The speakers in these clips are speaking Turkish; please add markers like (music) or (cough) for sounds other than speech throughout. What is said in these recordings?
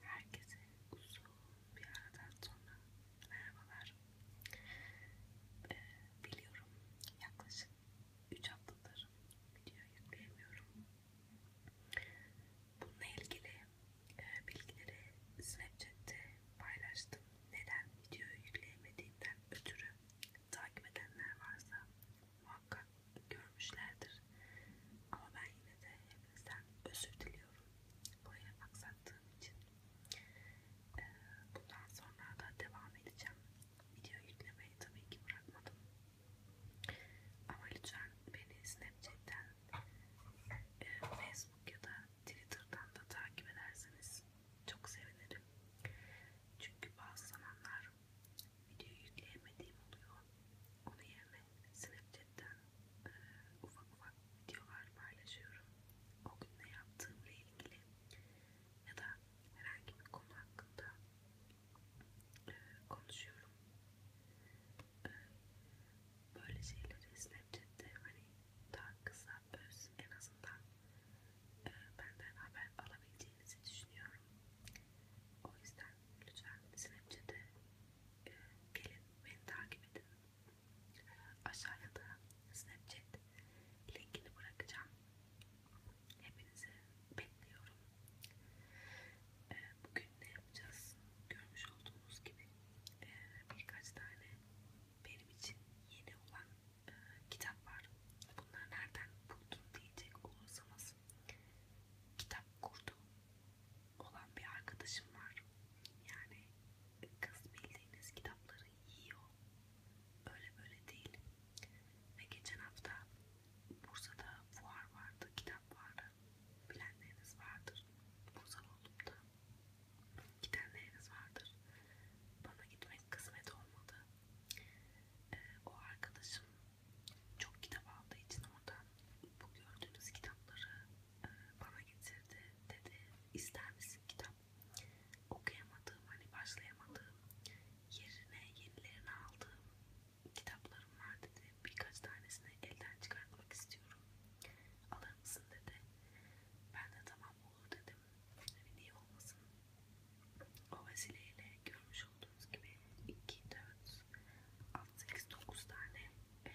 Herkese uzun bir aradan sonra merhabalar. Ee, biliyorum yaklaşık 3 haftadır video yükleyemiyorum. Bununla ilgili e, bilgileri Snapchat'te paylaştım. Neden video yükleyemediğimden ötürü takip edenler varsa muhakkak görmüşlerdir. Ama ben yine de hepinizden özür diliyorum. Buraya aksattığım için. Ee, bundan sonra da devam edeceğim. Video yüklemeyi tabii ki bırakmadım. Ama lütfen beni Snapchat'ten, e, Facebook ya da Twitter'dan da takip ederseniz çok sevinirim. Çünkü bazı zamanlar video yükleyemediğim oluyor. Onun yerine Snapchat'ten e, ufak ufak videolar paylaşıyorum. O gün ne yaptığımla ilgili ya da herhangi bir konu hakkında e, konuşuyorum. E, böyle şeyleri Snapchat'te hani daha kısa öz en azından e, benden haber alabileceğinizi düşünüyorum. O yüzden lütfen Snapchat'e e, gelin beni takip edin. E, aşağıya da Snapchat linkini bırakacağım. Hepinizi bekliyorum. E, bugün ne yapacağız? Görmüş olduğunuz gibi e, birkaç tane benim için yeni olan e, kitap var. Bunları nereden buldum diyecek olursanız kitap kurdu olan bir arkadaşım var. Yani kız bildiğiniz kitapları yiyor. Öyle böyle değil. Ve geçen hafta Bursa'da fuar vardı, kitap vardı. Bilenleriniz vardır. Bursa olduğumda gidenleriniz vardır. Bana gitmek kısmet olmadı. Ee, o arkadaşım çok kitap aldığı için oradan bu gördüğünüz kitapları e, bana getirdi dedi ister misin kitap okuyamadığım hani başlayamadığım yerine yenilerini aldığım kitaplarım var dedi birkaç tanesini elden çıkartmak istiyorum alır mısın dedi ben de tamam olur dedim hani niye olmasın o vesileyle görmüş olduğunuz gibi 2, 4, 6-8-9 tane e,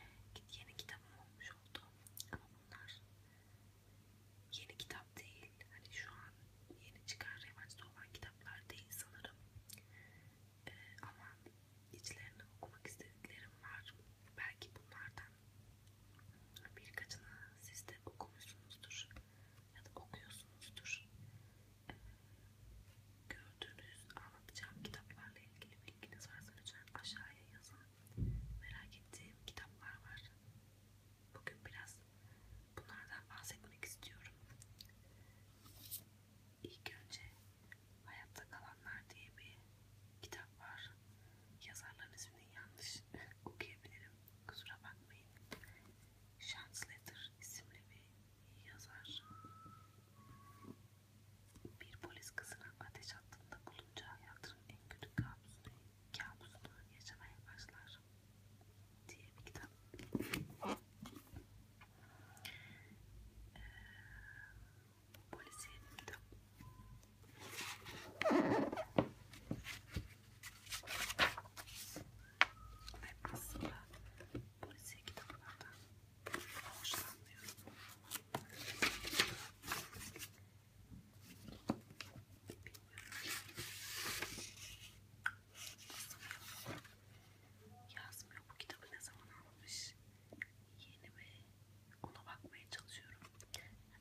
yeni kitabım olmuş oldu ama bunlar yeni kitap değil hani şu an yeni çıkan revaçta olan kitaplar değil sanırım ee, ama içlerine okumak istediklerim var belki bunlardan birkaçını siz de okumuşsunuzdur ya da okuyorsunuzdur Gördüğünüz anlatacağım kitaplarla ilgili bilginiz varsa lütfen aşağıya yazın. Merak ettiğim kitaplar var. Bugün biraz bunlardan bahsetmek istiyorum. İlk önce Hayatta Kalanlar diye bir kitap var. Yazarların ismini yanlış (laughs) okuyabilirim. Kusura bakmayın. Chance Letter isimli bir yazar. Bir polis kızına ateş attığında bulunacağı hayatının en kötü kabusunu, kabusunu yaşamaya başlar diye bir kitap. Ee, polisiye bir kitap. Ve aslında polisiye kitaplardan hoşlanmıyorum. Yazmıyor bu kitabı ne zaman almış? Yeni mi? Ona bakmaya çalışıyorum.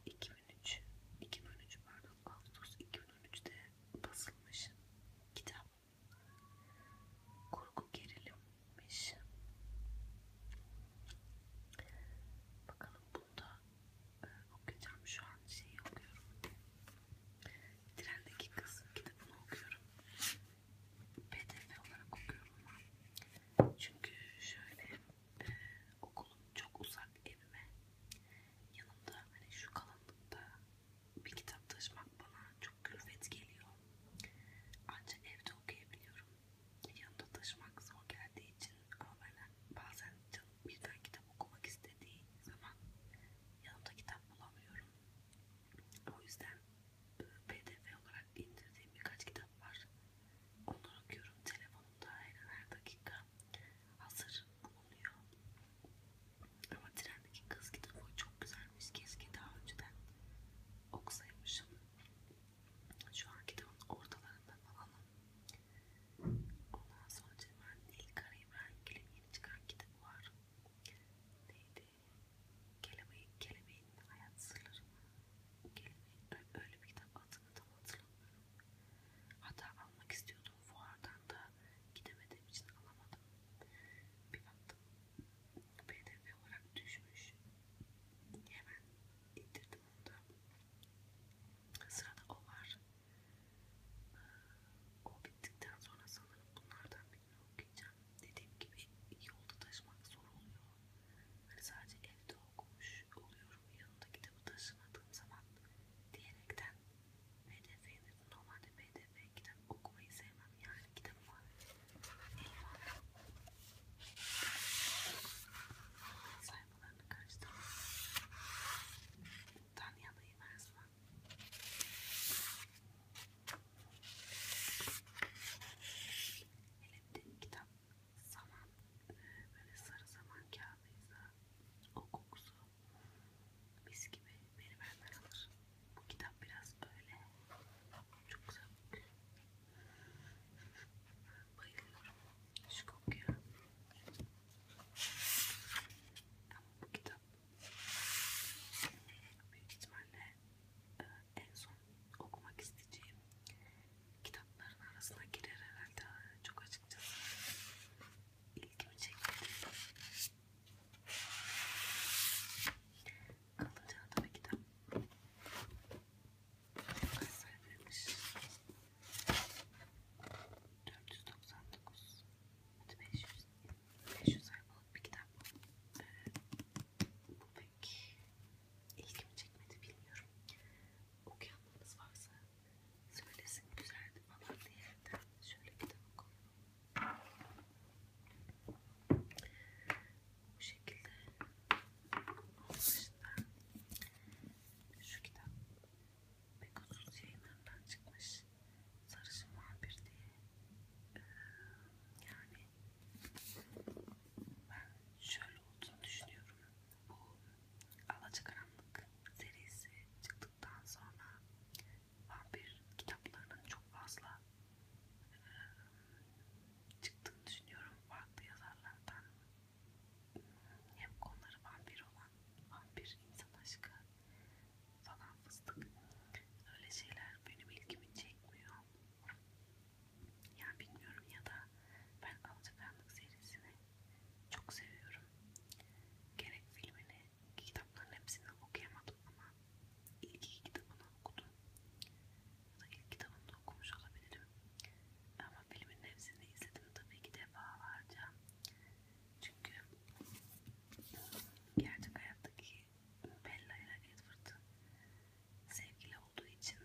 2003, 2003 pardon Ağustos 2013'te basılmış kitap. Kurgu gerilimmiş. Bakalım bunda e, okuyacağım. Şu an şeyi okuyorum. Trendeki kız kitabını okuyorum. PDF olarak okuyorum ben. Çünkü şöyle e, okulum çok uzak evime. Yanımda hani şu kalınlıkta bir kitap taşımak bana çok külfet geliyor. Ancak evde okuyabiliyorum. Yanımda taşımak zor geldiği için ama ben bazen canım birden kitap okumak istediği zaman yanımda kitap bulamıyorum. O yüzden pdf olarak indirdiğim birkaç kitap var. Onları okuyorum telefonumda her, her dakika. Hazır bulunuyor. Ama trendeki kız kitabı çok güzelmiş. Keşke daha önceden okusaymışım. Şu an kitabın ortalarında falanım. Ondan sonra Cemal Nilkara İbrahimgil'in yeni çıkan kitabı var. Neydi? Kelebeğin, Kelebeğin Hayat Sırları mı? Kelebeğin, öyle bir kitap adını tam hatırlamıyorum. Hatta almak istiyordum fuardan da gidemediğim için alamadım. Bir baktım pdf olarak düşmüş. Hemen indirdim onu da. Sırada o var. Ee, o bittikten sonra sanırım bunlardan birini okuyacağım. Dediğim gibi yolda taşımak zor oluyor. Hani sadece evde okumuş oluyorum. Yanında kitabı taşımadığım zaman diyerekten hedefini Normalde BDB kitap okumayı sevmem yani kitap var. Eyvallah. Sayfalarını karıştırdım. Tanrı'ya dayı versin ben. Hele bir de kitap zaman, e, böyle sarı zaman kağıdıysa o kokusu mis gibi beni benden alır. Bu kitap biraz öyle. Çok güzel kokuyor. Bayılıyorum şu kokuya. Ama bu kitap büyük ihtimalle e, en son okumak isteyeceğim kitapların arasına girer herhalde. Çok açıkçası ilgimi çekti. Kalınca tabii ki de kaç 499 hadi 500 500 sayfalık bir kitap ee, bu pek ilgimi çekmedi bilmiyorum okuyanlarınız varsa söylesin güzeldi falan diye şöyle kitap koyalım bu şekilde olmuşlar. Şu kitap Pegasus yayınlarından çıkmış. Sarışın Vampir diye. Ee, yani ben şöyle olduğunu düşünüyorum. Bu Alacakaranlık serisi çıktıktan sonra vampir kitaplarının çok fazla e, çıktığını düşünüyorum farklı yazarlardan hem konuları vampir olan vampir insan aşkı falan fıstık öyle şeyler benim ilgimi çekmiyor yani bilmiyorum ya da ben Alacakaranlık serisini çok seviyorum gerek filmini kitapların hepsini okuyamadım ama ilk iki kitabını okudum. Ya da ilk kitabını da okumuş olabilirim. Ama filmin hepsini izledim tabii ki defalarca. Çünkü gerçek hayattaki Bella ile Edward'ın sevgili olduğu için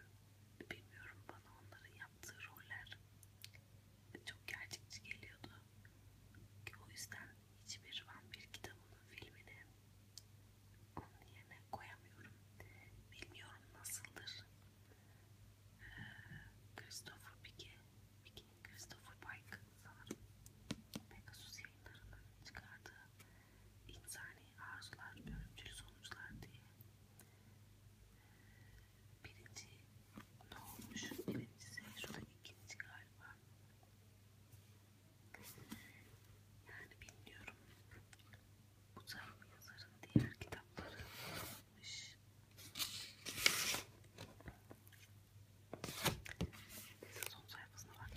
bilmiyorum bana onların yaptığı roller çok gerçekçi geliyordu. Ki o yüzden hiçbir vampir kitabının filmini onun yerine koyamıyorum. Bilmiyorum nasıldır. Ee, Christopher Pike, Pike, Christopher Pike sanırım. Pegasus yayınlarının çıkardığı insani arzular, ölümcül sonuçlar diye Birinci ne olmuş? Birincisi şurada ikinci galiba. Yani bilmiyorum. Bu tarz yazarın diğer kitapları olmuş. Neyse son sayfasına bak.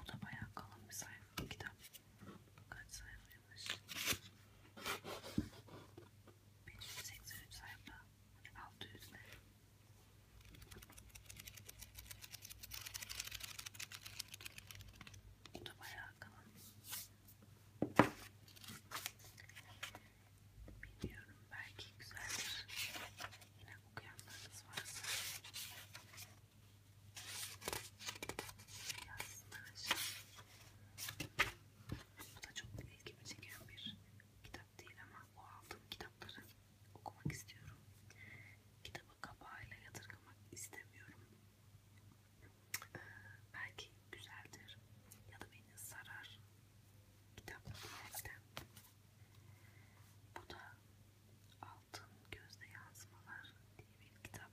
Bu da bayağı kalın bir sayfa. Kitap kaç sayfaymış? 1183 sayfa. Hadi 600 ne? Bu da bayağı kalın. Bilmiyorum belki güzeldir. Yine okuyanlarınız varsa yazsınlar aşağıya. Bu da çok ilgimi çeken bir kitap kitap değil ama o aldığım kitapları okumak istiyorum. Kitabı kapağıyla yadırgamak istemiyorum. Ee, belki güzeldir ya da beni sarar kitap diyerekten. Bu da Altın Gözde Yansımalar diye bir kitap.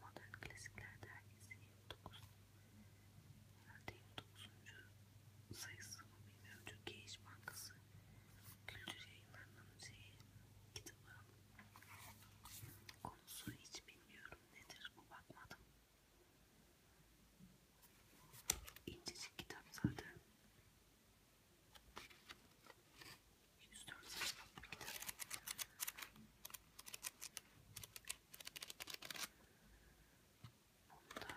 Modern Klasikler Dergisi 9 Derneğin 9. sayısı mı bilmiyorum. Türkiye İş Bankası Kültür Yayınları'nın şeyi, kitabı. Konusu hiç bilmiyorum nedir bu bakmadım. İncecik kitap zaten. 104 sayfalık bir kitap. Bunda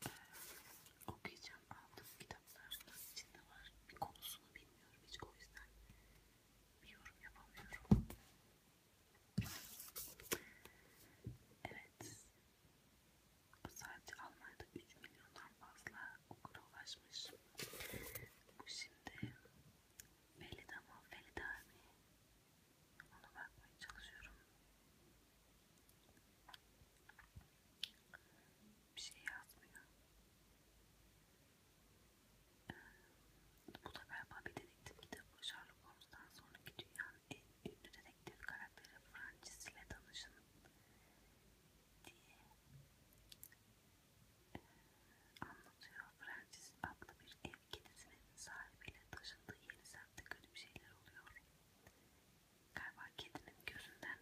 e, okuyacağım aldığım kitaplar içinde var. Bir konusunu bilmiyorum hiç o yüzden bir yorum yapamıyorum. Evet. Sadece Almanya'da 3 milyondan fazla okura ulaşmış. Bu şimdi Felida mı? Felida mi? Ona bakmaya çalışıyorum. Bir şey yazmıyor. Ee, bu da galiba bir dedektif kitabı Sherlock Holmes'tan sonraki dünyanın en ünlü dedektif karakteri Francis ile tanışın diye ee, anlatıyor anlatıyor. Francis adlı bir ev kedisinin sahibiyle taşındığı yeni semtte kötü bir şeyler oluyor. Galiba kedinin gözünden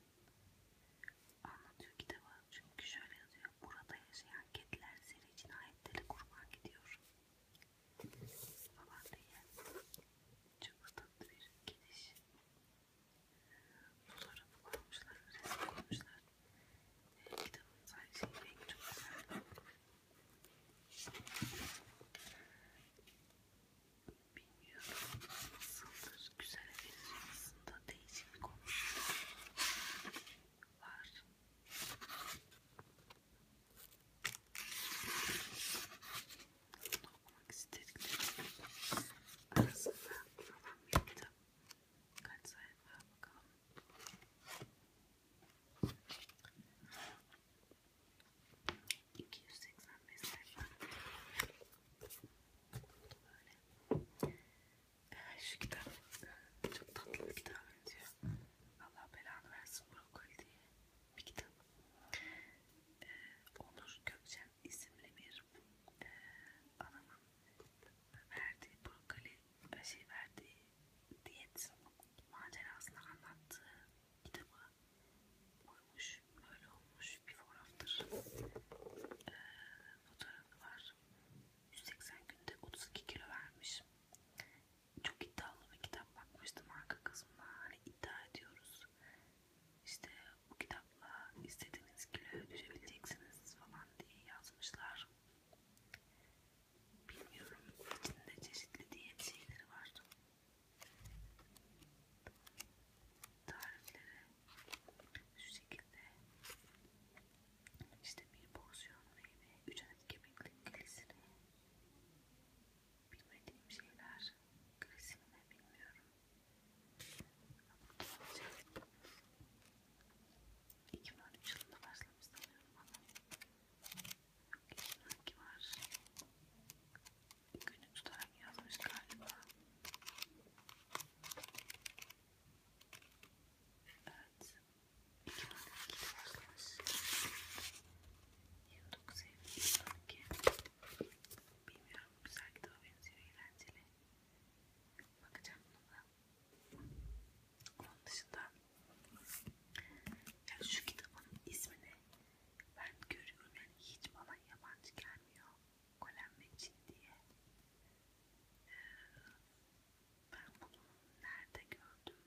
anlatıyor kitabı. Çünkü şöyle yazıyor. Burada yaşayan kediler seri cinayetleri kurban gidiyor. Falan diye. Çok tatlı bir kediş. Fotoğrafı koymuşlar, resim koymuşlar. Ee, Kitabın sadece şey, rengi çok güzel. Bilmiyorum nasıldır. Güzel bir aslında değişik bir konu var. Bunu okumak istediklerim arasında olan bir kitap. Kaç sayfa bakalım. 285 sayfa. Böyle. Evet, şu kitap çok tatlı bir kitap benziyor. Allah belanı versin brokoli diye bir kitap. Ee, Onur Gökçen isimli bir e, anamın verdiği brokoli şey verdiği diyet macerasını anlattığı kitabı koymuş. Böyle olmuş. Bir fotoğraftır. Ee, fotoğrafı var. 180 günde 32 kilo vermiş. Çok iddialı bir kitap bakmıştım arka kısmına. Hani iddia ediyoruz. İşte bu kitapla istediğiniz kiloya düşebileceksiniz falan diye yazmışlar. Bilmiyorum. İçinde çeşitli diyet şeyleri vardı. Tarifleri şu şekilde işte bir porsiyon meyve, üç adet kemiklik glisini bilmediğim şeyler glisini ne bilmiyorum ama 2013 yılında başlamış sanıyorum ama Sanki var. Günü tutarak yazmış galiba. Evet. İki tane ikili başlamış. 29 Eylül 2012. Bilmiyorum güzel kitaba benziyor eğlenceli. Bakacağım buna. Onun dışında yani şu kitabın ismini ben görüyorum yani hiç bana yabancı gelmiyor. Kolem ve Çin diye. Ee, ben bunu nerede gördüm?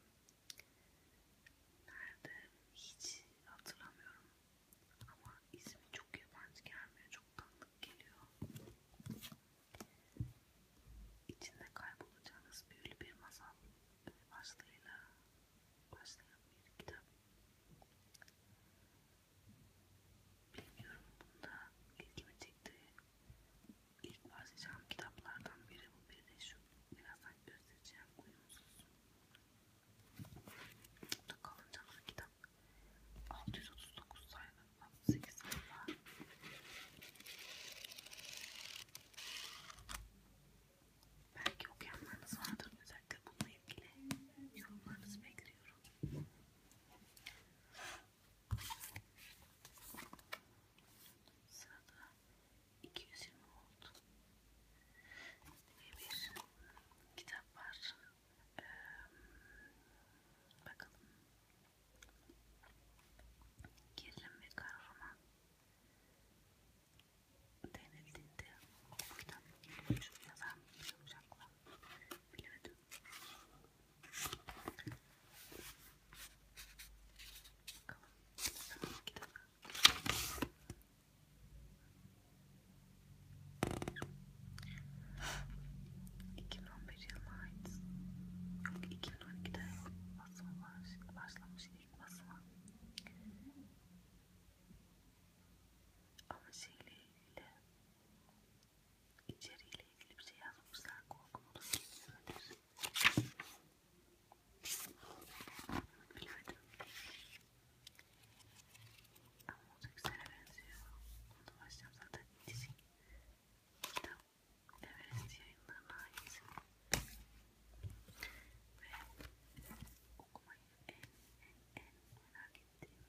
Nerede? Hiç hatırlamıyorum. Ama ismi çok yabancı gelmiyor. Çok tanıdık geliyor. İçinde kaybolacağınız büyülü bir masal başlığıyla başlayan bir kitap. Bilmiyorum bunda ilgimi çekti. İlk başlayacağım kitaplardan biri bu biri de şu. Birazdan göstereceğim uyumsuz. Burada kalınca bir kitap. 639 sayfa. 68 var. Belki okuyanlarınız vardır. Özellikle bununla ilgili yorumlarınızı bekliyorum. Sırada 220 oldu. Ve bir kitap var. Ee, bakalım gerilim ve kahraman denildiğinde kitap şu yazan olacaklar bilemedim bakalım tamam kitap İki bin on beş yılına ait, yok iki 2012'de basımı başlamış ilk basımı. Ama şeyle ilgili, içeriğiyle ilgili bir şey yazmışlar. Korkum olur ki böyledir. Bilemedim. Ama o da güzel benziyor. Onu da başlayacağım zaten. Dizim kitap Everest yayınlarına ait ve okumayı en en en merak ettiğim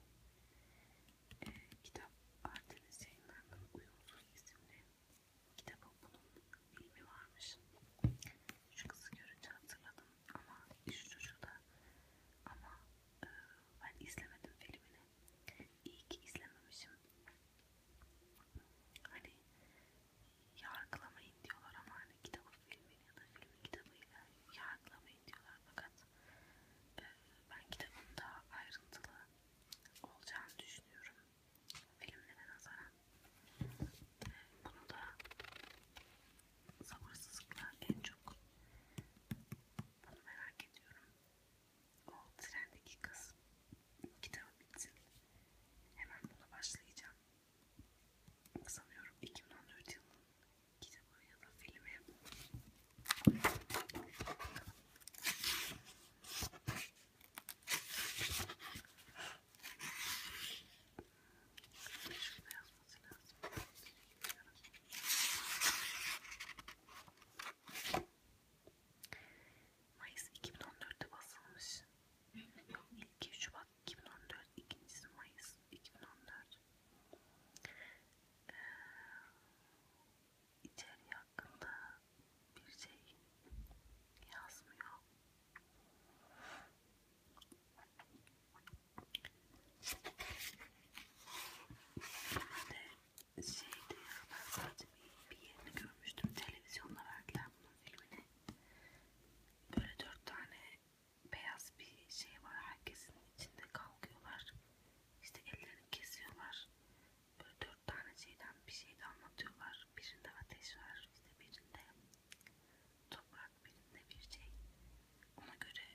e, kitap Artemis yayınlarının uyumsuz isimli kitabı bunun filmi varmış. Şu kızı görünce hatırladım ama şu çocuğu da ama e, ben izlemedim filmini. İyi ki izlememişim hani yargılamayın diyorlar ama hani kitabı filmin ya da filmi kitabıyla yargılamayın diyorlar fakat e, ben kitabın daha ayrıntılı olacağını düşünüyorum filmlere nazaran e, bunu da sabırsızlıkla en çok bunu merak ediyorum o trendeki kız kitabı bitsin hemen buna başlayacağım sanıyorum 2014 yılının kitabı ya da filmi Şurada yazması lazım. Mayıs 2014'te basılmış. Yok ilki Şubat 2014, ikincisi Mayıs 2014. Ee, içeriği hakkında bir şey yazmıyor. Şimdi şeydi ya ben sadece bir, bir yerini görmüştüm televizyonda verdiler bunun filmini böyle dört tane beyaz bir şey var herkesin içinde kalkıyorlar işte ellerini kesiyorlar böyle dört tane şeyden bir şey de anlatıyorlar birinde ateş var işte birinde toprak birinde bir şey ona göre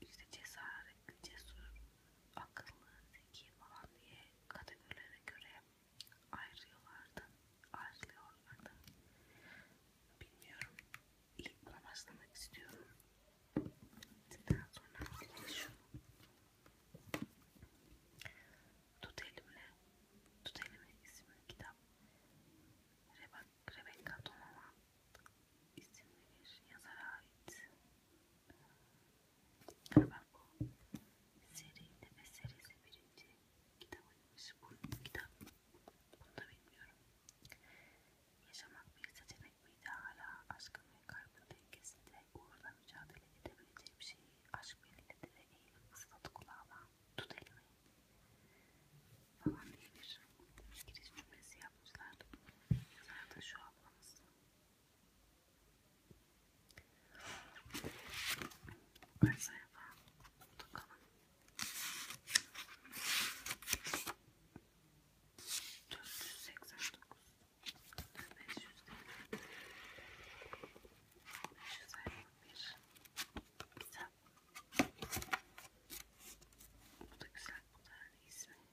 işte cesaretli cesur akıllı, zeki falan diye kategorilere göre ayrılıyorlardı, ayrılıyorlardı. Bilmiyorum. İlk buna başlamak istiyorum. Daha sonra şu. Tut elimle, tut elimle isimli kitap. Rebecca Donovan isimli bir yazara ait. Ben bu serinin ve serisi birinci kitabıymış bu kitap. Bunu da bilmiyorum. Yaşamak bir seçenek miydi hala aşkın ve kaybın dengesinde uğurla mücadele edebileceğim şeyi aşk belirledi ve eğilip ısladı kulağıma tut elimi falan diye bir giriş cümlesi yapmışlar. Güzel de şu ablamız Kaç sayfa? Bakalım. Dört yüz seksen dokuz. Beş yüz elli. Beş yüz elli bir. Güzel. Bu da güzel. Bu da ismi.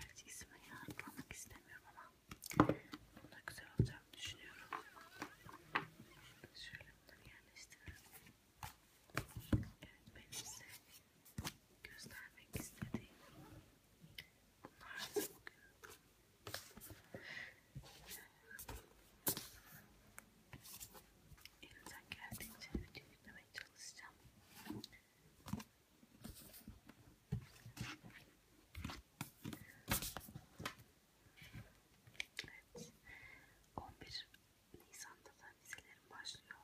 Gerçi ismini hatırlamak istemiyorum ama bunda güzel olacağını düşünüyorum. Şimdi şöyle bunları yerleştirelim. Evet benim size göstermek istediğim bunlar da bugün. Elimden geldiğince video yüklemeye çalışacağım. Evet. 11 Nisan'da da vizelerim başlıyor.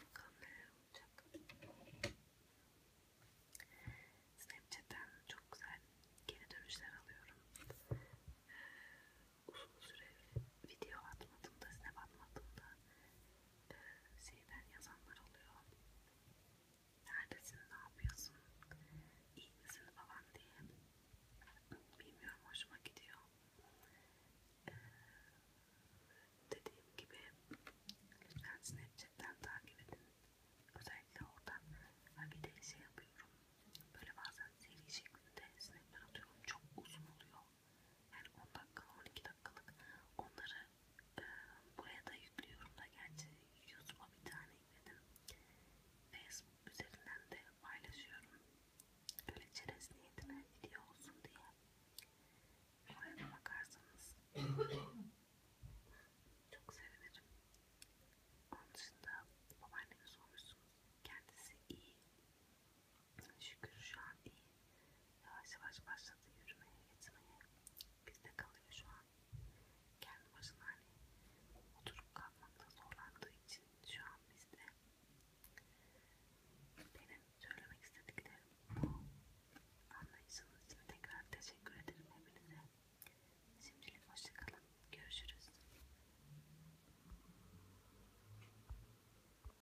Bakalım neler olacak. Snapchat'ten çok güzel geri dönüşler alıyorum. Ee, uzun süre video atmadığımda, snap atmadığımda e, şeyler yazanlar oluyor. Neredesin, ne yapıyorsun, iyi misin falan diye. Bilmiyorum, hoşuma gidiyor. E, dediğim gibi lütfen Snapchat'ten takip edin. Özellikle oradan bir de şey yapıyorum. Böyle bazen seri şeklinde snapler atıyorum. Çok uzun oluyor yani 10 dakikalık 12 dakikalık onları e, buraya da yüklüyorum da gerçi YouTube'a bir tane yükledim Facebook üzerinden de paylaşıyorum öyle çerez niyetine video olsun diye oraya da bakarsanız (coughs) çok sevinirim onun dışında babaannemi sormuşsunuz kendisi iyi Şükür şu an iyi. Yavaş yavaş başladı yürümeye, gitmeye. Bizde kalıyor şu an. Kendi başına hani oturup kalkmakta zorlandığı için şu an bizde. Benim söylemek istediklerim bu. Anlayışınız için tekrar teşekkür ederim hepinize. Şimdilik hoşçakalın. Görüşürüz.